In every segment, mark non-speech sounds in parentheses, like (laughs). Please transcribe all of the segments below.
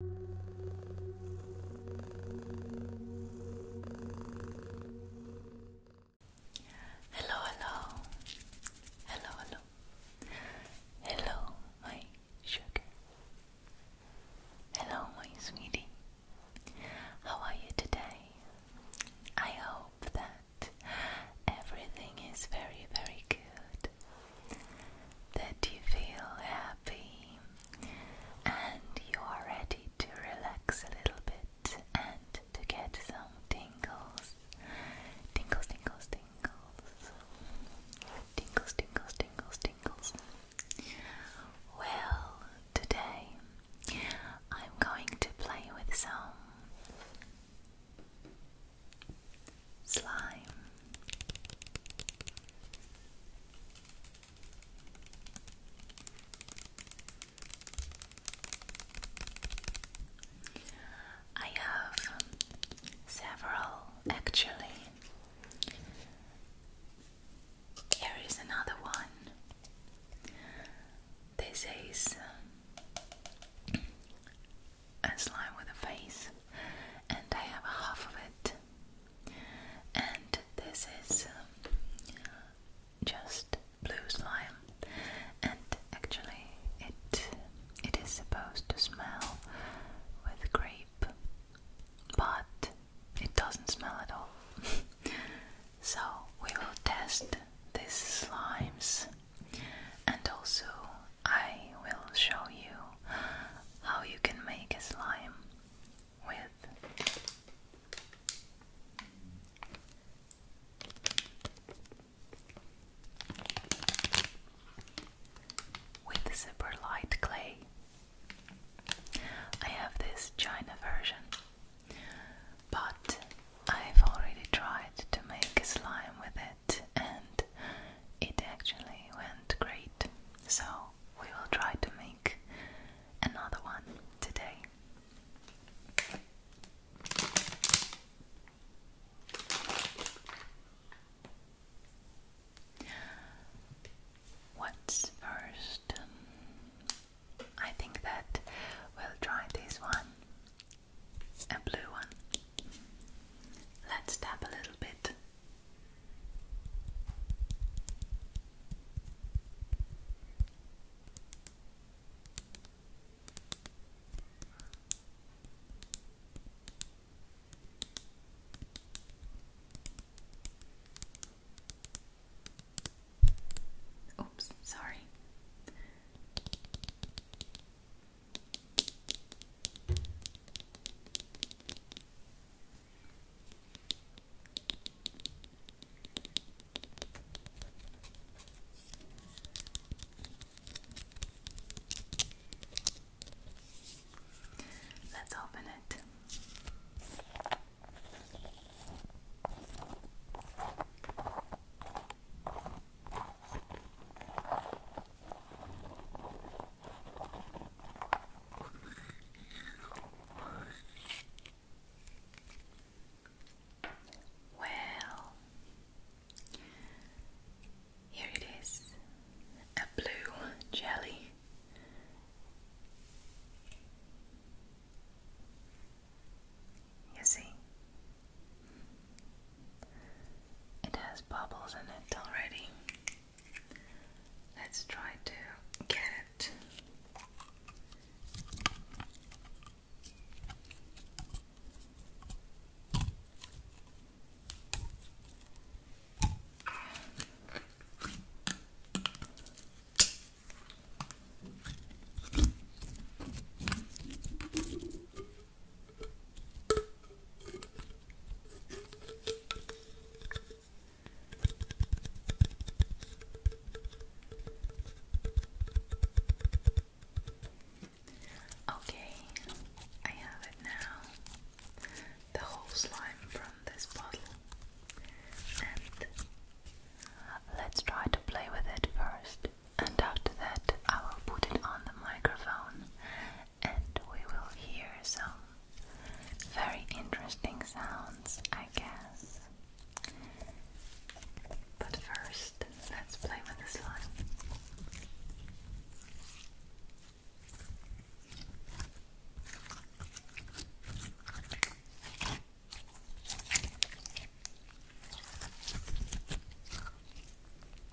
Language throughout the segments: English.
Hello, hello, hello, hello, hello, my sugar, hello, my sweetie. How are you today? I hope that everything is very, very good that you feel happy and you are ready to relax a little bit and to get some tingles. Tingles, tingles, tingles. Tingles, tingles, tingles, tingles. Well, today I'm going to play with some slime. I have several actually. Here is another one. This is um, a slime with a face, and I have half of it and this is um, just blue slime, and actually it it is supposed to smell with grape, but it doesn't smell at all. (laughs) so we will test these slimes and also I will show you how you can make a slime with with super light clay. I have this China version, but I've already tried to make slime with it, and it actually went great. So, we will try to make another one today. What's first? I think that we'll try this one. A blue one. Let's tap a little bit Oops, sorry. Let's open it. Well, here it is a blue jelly. You see, it has bubbles in it already. Let's try to get it. Okay, I have it now. The whole slime from this bottle. And let's try to play with it first. And after that, I will put it on the microphone and we will hear some very interesting sounds, I guess. But first, let's play with the slime.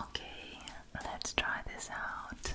Okay, let's try this out.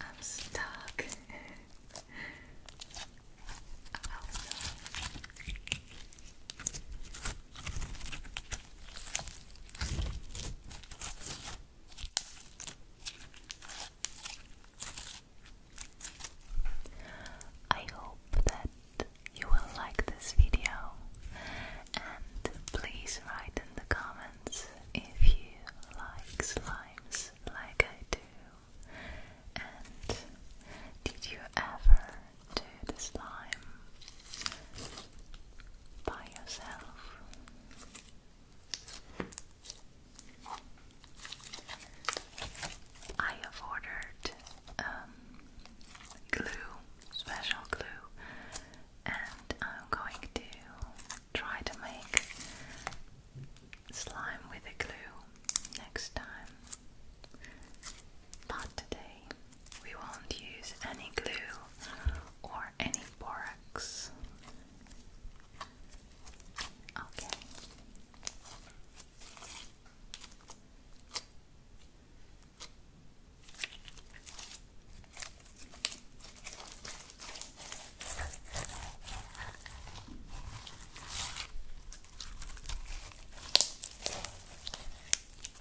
I'm stuck. (laughs) I hope that you will like this video and please write in the comments if you like slimes like I do and did you ever to the slime by yourself. I have ordered um, glue, special glue, and I'm going to try to make slime with the glue next time. Not today. We won't use any glue or any borax. Okay.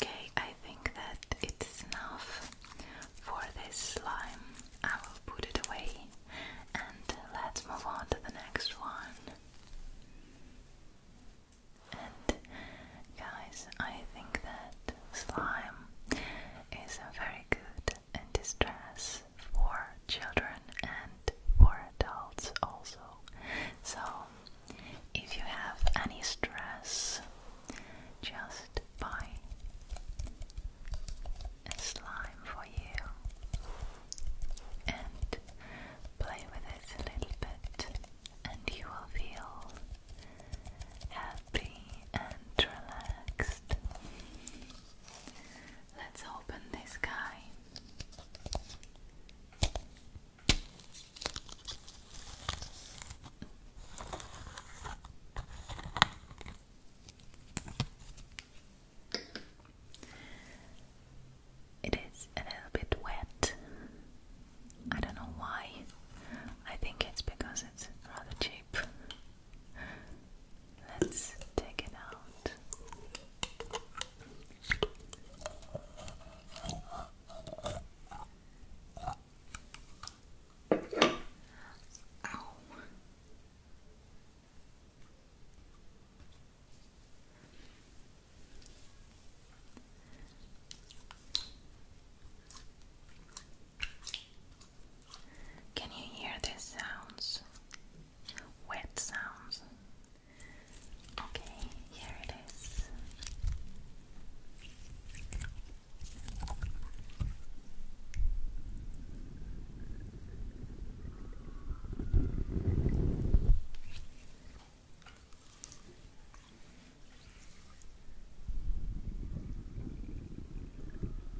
Okay, I think that it's enough for this slime. I will put it away and let's move on to the next one. And guys, I think that slime is a very good anti for children and for adults also. So, if you have any stress, just buy a slime for you and play with it a little bit, and you will feel happy and relaxed. Let's open this guy. It is a little bit wet. I don't know why. I think it's because it's rather cheap. Let's take it out. Ow. Can you hear these sounds? Wet sounds. Okay, here it is.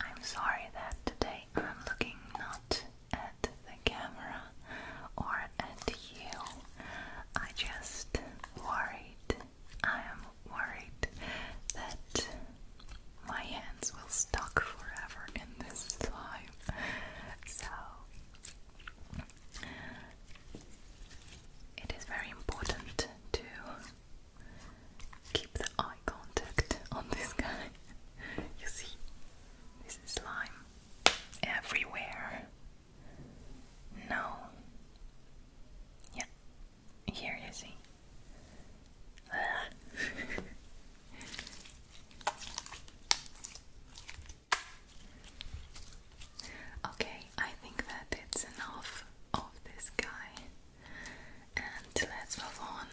I'm sorry that today I'm looking not at the camera or at you. I just worried. I am worried that my hands will stuck forever in this slime. So it is very important to keep the eye contact on this guy. (laughs) you see, this is slime everywhere. No. Yeah. Here you see. (laughs) okay, I think that it's enough of this guy. And let's move on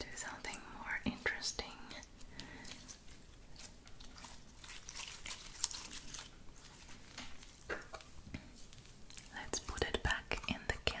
to something more interesting. Let's put it back in the can.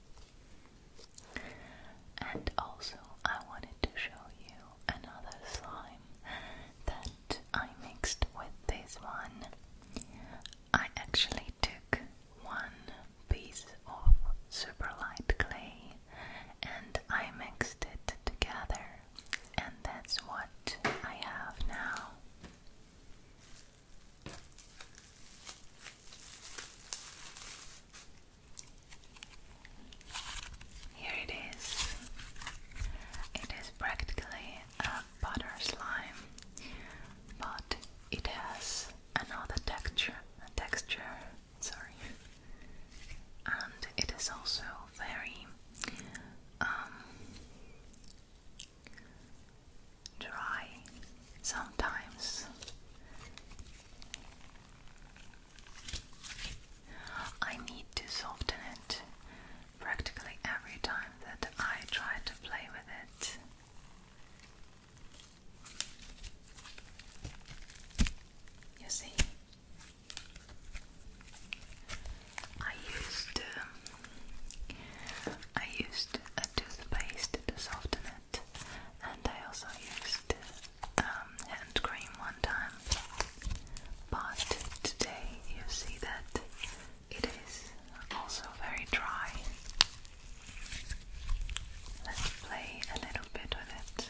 And also, I wanted to show you another slime that I mixed with this one. I actually took one piece of super clay and I mixed it together, and that's what I have now. Here it is. It is practically a butter slime, but it has another texture. Texture, sorry, and it is also very um, dry sometimes. I need to soften it practically every time that I try to play with it. You see, I used um, I used a toothpaste to soften it, and I also used um, hand cream one time. But today you see that it is also very dry. Let's play a little bit with it.